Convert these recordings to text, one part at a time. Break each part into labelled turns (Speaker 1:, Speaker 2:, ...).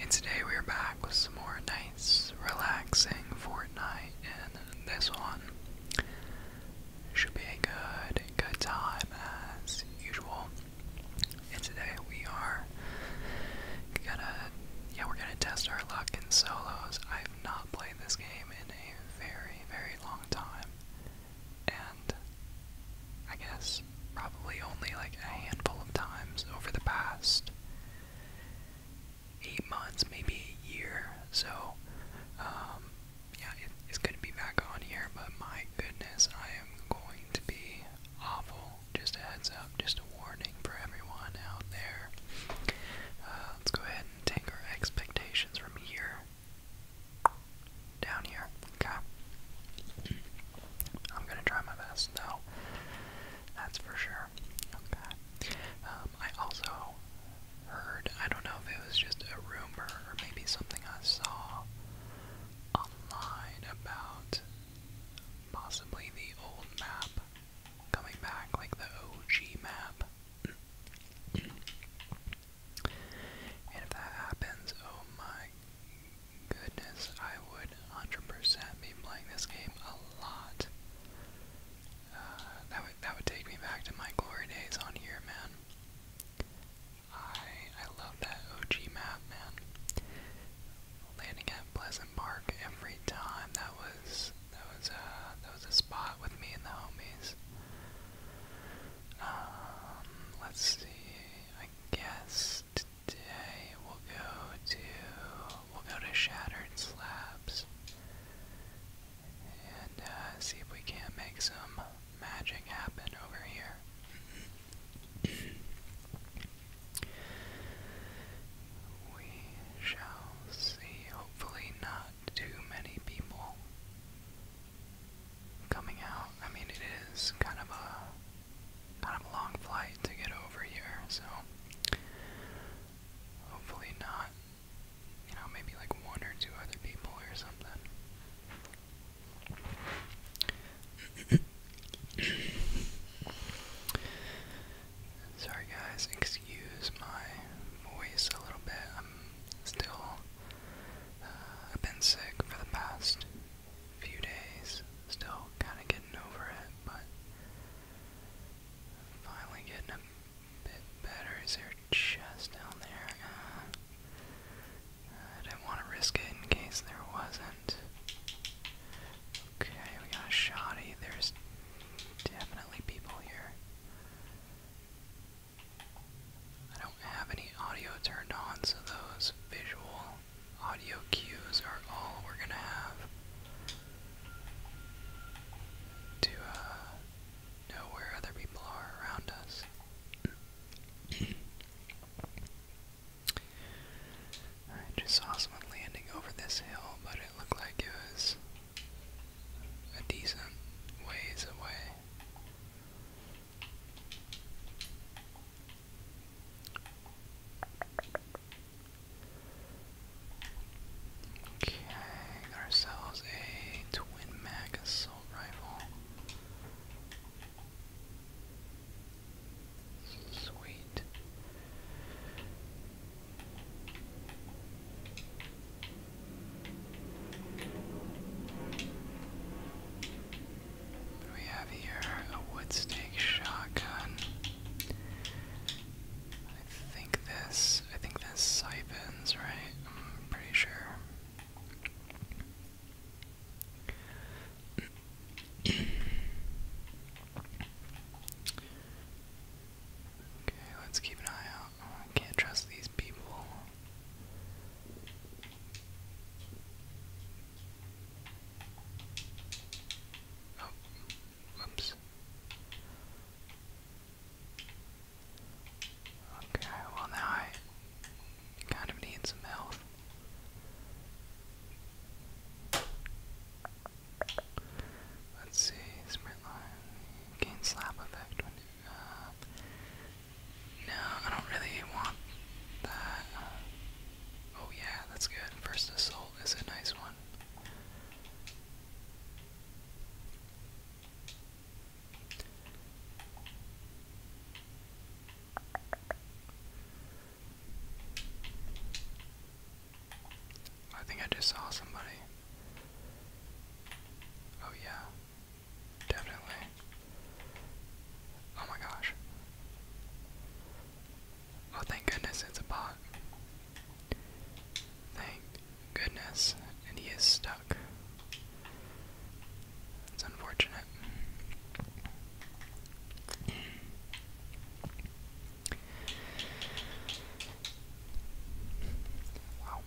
Speaker 1: And today we're back with some more nice, relaxing Fortnite, and this one should be a good, good time as usual. And today we are gonna, yeah, we're gonna test our luck in solos. I've not played this game in a very, very long time, and I guess, probably only like a handful of times over the past eight months, maybe a year. So, um, yeah, it's going to be back on here, but my goodness, I am going to be awful. Just a heads up, just a warning for everyone out there. Uh, let's go ahead and take our expectations from here down here. Okay. I'm gonna try my best though. That's for sure. Okay. Um, I also heard, I don't know if it was just a rumor or maybe something I saw online about possibly the old map coming back, like the OG map. and if that happens, oh my goodness, I would 100% be playing this game a lot. Uh, that would that would take me back to my glory days on here, man. I I love that OG map, man. Landing at Pleasant Park every time. That was that was uh that was a spot with me and the homies. Um, let's see. I guess today we'll go to we'll go to Shattered Slabs and uh, see if we can't make some magic happen over here. we shall see. Hopefully, not too many people coming out. I mean, it is kind of a kind of a long flight to get over here, so hopefully not. You know, maybe like one or two other people or something. Sorry, guys. Excuse my voice a little bit. I'm still. Uh, I've been sick for the past few days. Still kind of getting over it, but finally getting a bit better. Is there just down there? Uh, I didn't want to risk it in case there wasn't. Okay, we got a shoddy. There's definitely people here. I don't have any audio turned on, so those visual audio cues are all we're gonna have to uh, know where other people are around us. I just saw someone landing over this hill, but it looked like it was a decent ways away. Okay, got ourselves a twin mag assault rifle. Sweet we have here? A wood shotgun. I think this I think this siphons, right? I'm pretty sure. okay, let's keep an eye out. can't trust these people. Oh, whoops. Okay, well now I kind of need some health. Let's see, sprint line, gain slap effect no, I don't really want that. oh yeah, that's good. First assault is a nice one. I think I just saw somebody. Oh, yeah. Definitely. Oh my gosh. Oh, thank goodness it's a bot. Thank goodness. And he is stuck. It's unfortunate. wow.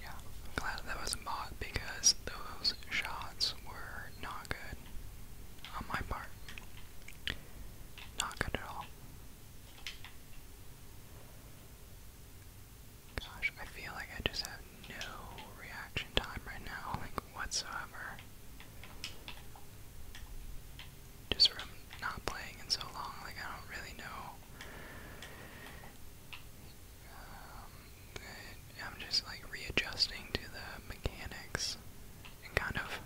Speaker 1: Yeah, I'm glad that was a bot because those shots were not good on my part. Not good at all. Gosh, I feel like I just have no reaction time right now, like whatsoever. Just from not playing in so long, like I don't really know um, I'm just like readjusting to the mechanics and kind of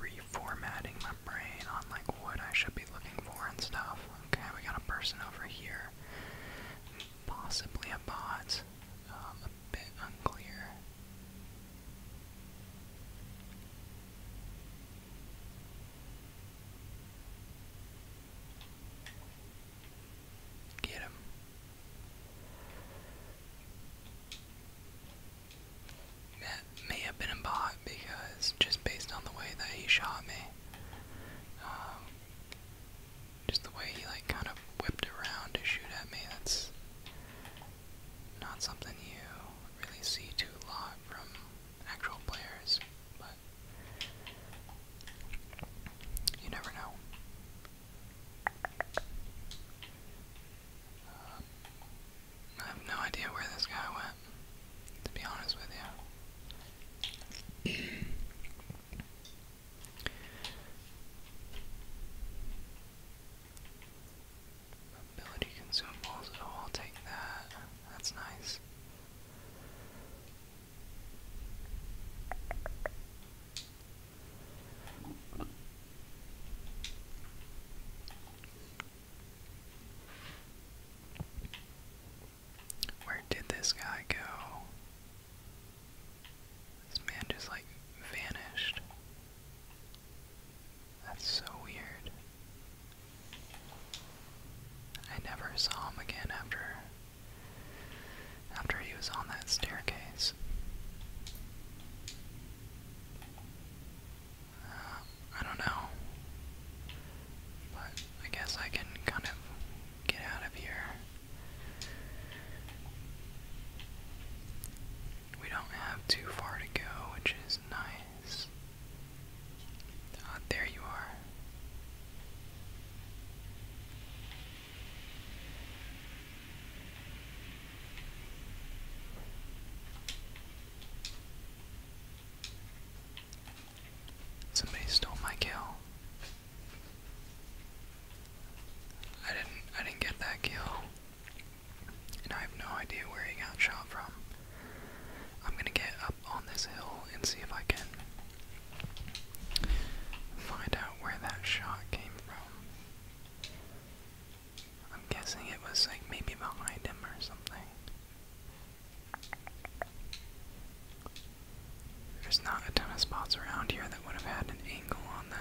Speaker 1: reformatting my brain on like what I should be looking for and stuff. Okay, we got a person over here. Possibly a bot. Um, a bit unclear. Get him. That may have been a bot because just based on the way that he shot me, um, just the way he like kind of whipped around to shoot at me, that's not something you really see too lot from actual players, but you never know. Um, I have no idea where this guy went, to be honest with you. Ability consumables, oh, I'll take that. That's nice. Where did this guy go? This man just like vanished. That's so weird. I never saw him again after after he was on that staircase. Uh, I don't know. But I guess I can kind of get out of here. We don't have too far to go, which is nice. Ah, there you are. Somebody stole my kill. I didn't I didn't get that kill and I have no idea where he got shot from. I'm gonna get up on this hill and see if I can find out where that shot came from. I'm guessing it was like maybe behind him or something. There's not a ton of spots around here that would have had an angle on that.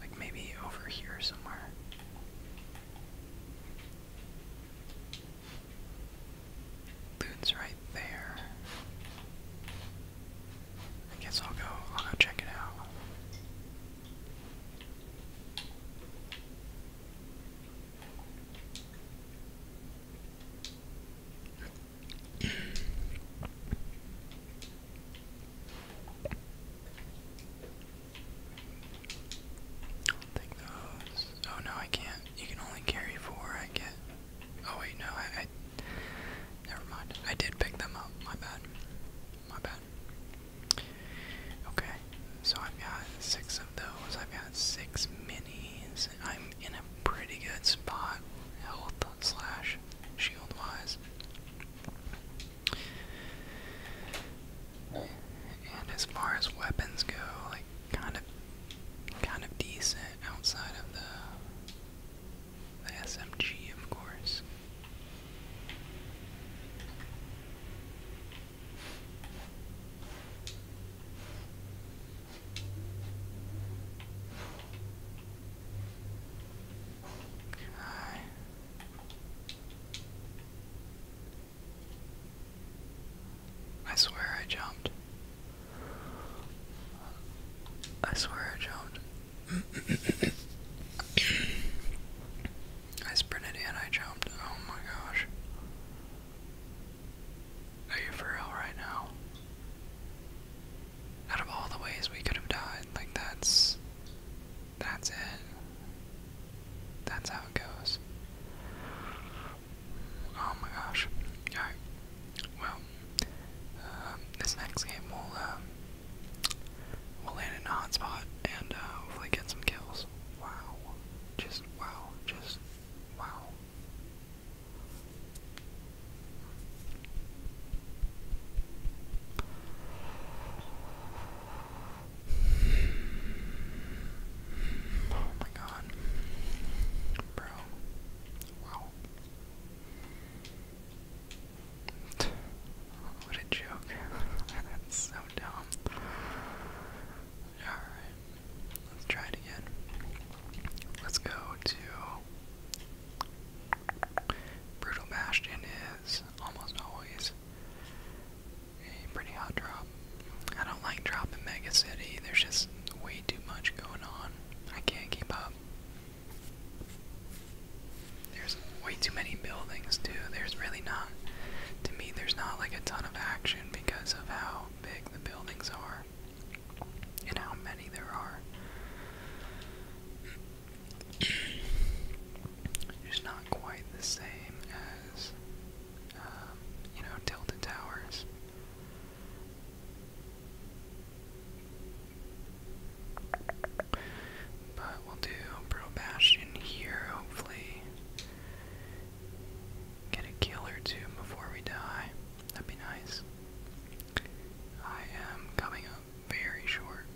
Speaker 1: Like maybe over here somewhere. Loot's right there. I guess I'll go I'll go check it out i take those. Oh no, I can't. You can only carry four. I get. Oh wait, no, I never mind. I did pick them up. My bad. My bad. Okay, so I've got six of those. I've got six minis. I'm in a pretty good spot, health slash shield wise. And as far as weapons go, like kind of kind of decent outside of the the SMG of course. Okay. I swear I jumped. I swear I jumped. I sprinted and I jumped. Oh my gosh. Are you for real right now? out of all the ways we could have died, like that's that's it. That's how it goes. Oh my gosh. Alright. Well, um, this next game will um, we'll land in a hotspot and uh, hopefully get some kills. Wow. Just wow. Just wow. Oh my god. Bro. Wow. What a joke. That's so dumb. Alright. Let's try it again. Let's go to Brutal Bastion is almost always a pretty hot drop. I don't like dropping Mega City. There's just way too much going on. I can't keep up. There's way too many buildings too. There's really not, to me, there's not like a ton of action because of how big the buildings are and how many there are. It's not quite the same as, um, you know, tilted towers. But we'll do Pro Bastion here, hopefully. Get a kill or two before we die. That'd be nice. I am coming up very short.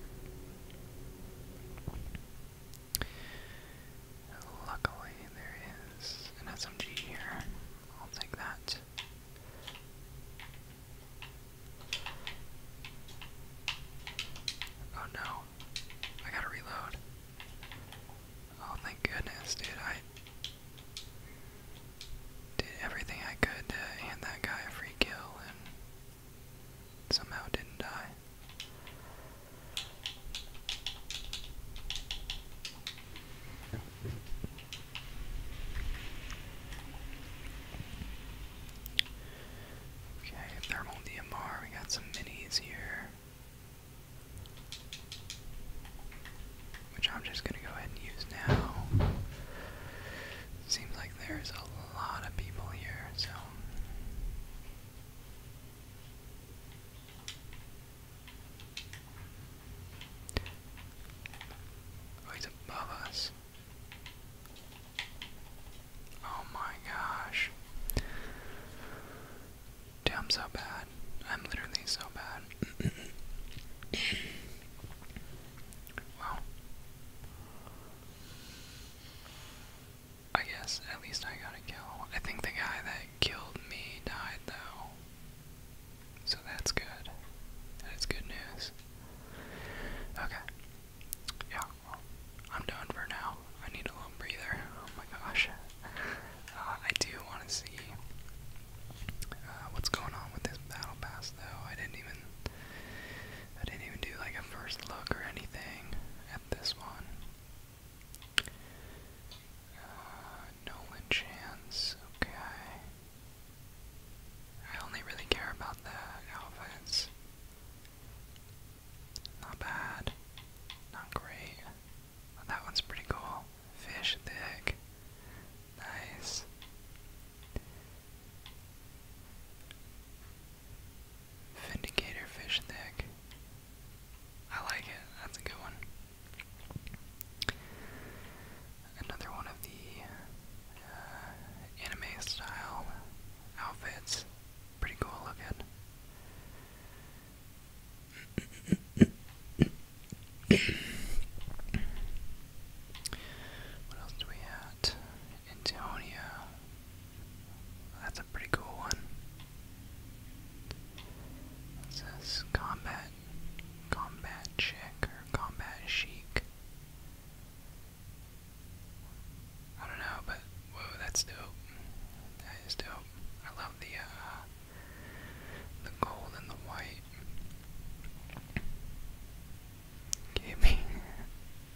Speaker 1: Luckily, there is an SMG here. I'll take that. Oh no. I gotta reload. Oh, thank goodness, dude. I did everything I could to hand that guy a free kill and somehow didn't die. Okay, thermal DMR, we got some minis here which I'm just going to go ahead and use now. Seems like there's a lot of people here, so. Oh, above us. Oh my gosh. Damn, so bad. I'm literally so bad well, I guess at least I got a kill. I think the guy that killed me died though, so that's good. That is good news. Okay. Yeah, well, I'm done for now. I need a little breather. Oh my gosh. Uh, I do want to see uh, what's going on with this battle pass though? I didn't even I didn't even do like a first look or anything at this one. Uh, Nolan Chance, okay. I only really care about the outfits. Not bad. Not great. that one's pretty cool fish dick. Nice. Vindicator fish dick. I like it. That's a good one. Another one of the uh, anime style outfits. Pretty cool looking. what else do we have? Antonio. That's a pretty cool one. It says combat, combat chick or combat chic. I don't know, but whoa, that's dope. That is dope. I love the uh, the gold and the white. Give me.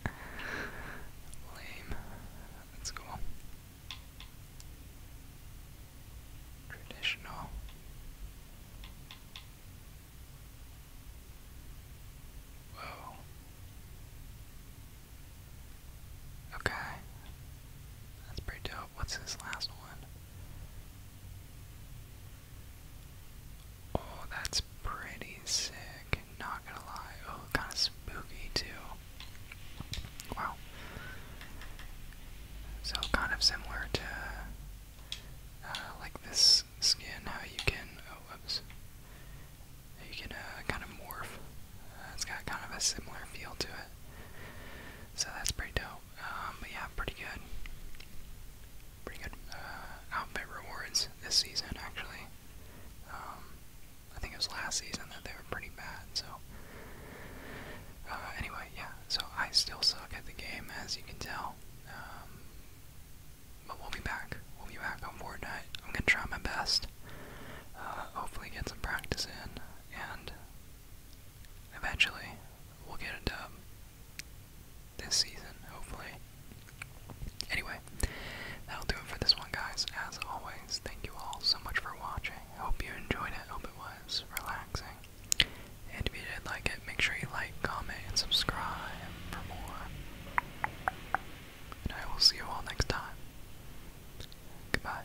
Speaker 1: Lame. That's cool. Traditional. Whoa. Okay. That's pretty dope what's this last one? Oh, that's pretty sick. Not gonna lie. Oh, kind of spooky too. Wow. So kind of similar to uh, like this skin, how you can oh, oops, you can uh, kind of morph. Uh, it's got kind of a similar feel to it. So that's pretty dope. Um, but yeah, pretty good. Pretty good uh, outfit rewards this season, actually. Um, I think it was last season that they were pretty bad, so. Uh, anyway, yeah, so I still suck at the game, as you can tell. Um, but we'll be back. We'll be back on Fortnite. I'm gonna try my best. Uh, hopefully get some practice in, and Eventually, we'll get a dub um, this season, hopefully. Anyway, that'll do it for this one, guys. As always, thank you all so much for watching. Hope you enjoyed it. Hope it was relaxing. And if you did like it, make sure you like, comment, and subscribe for more. And I will see you all next time. Goodbye.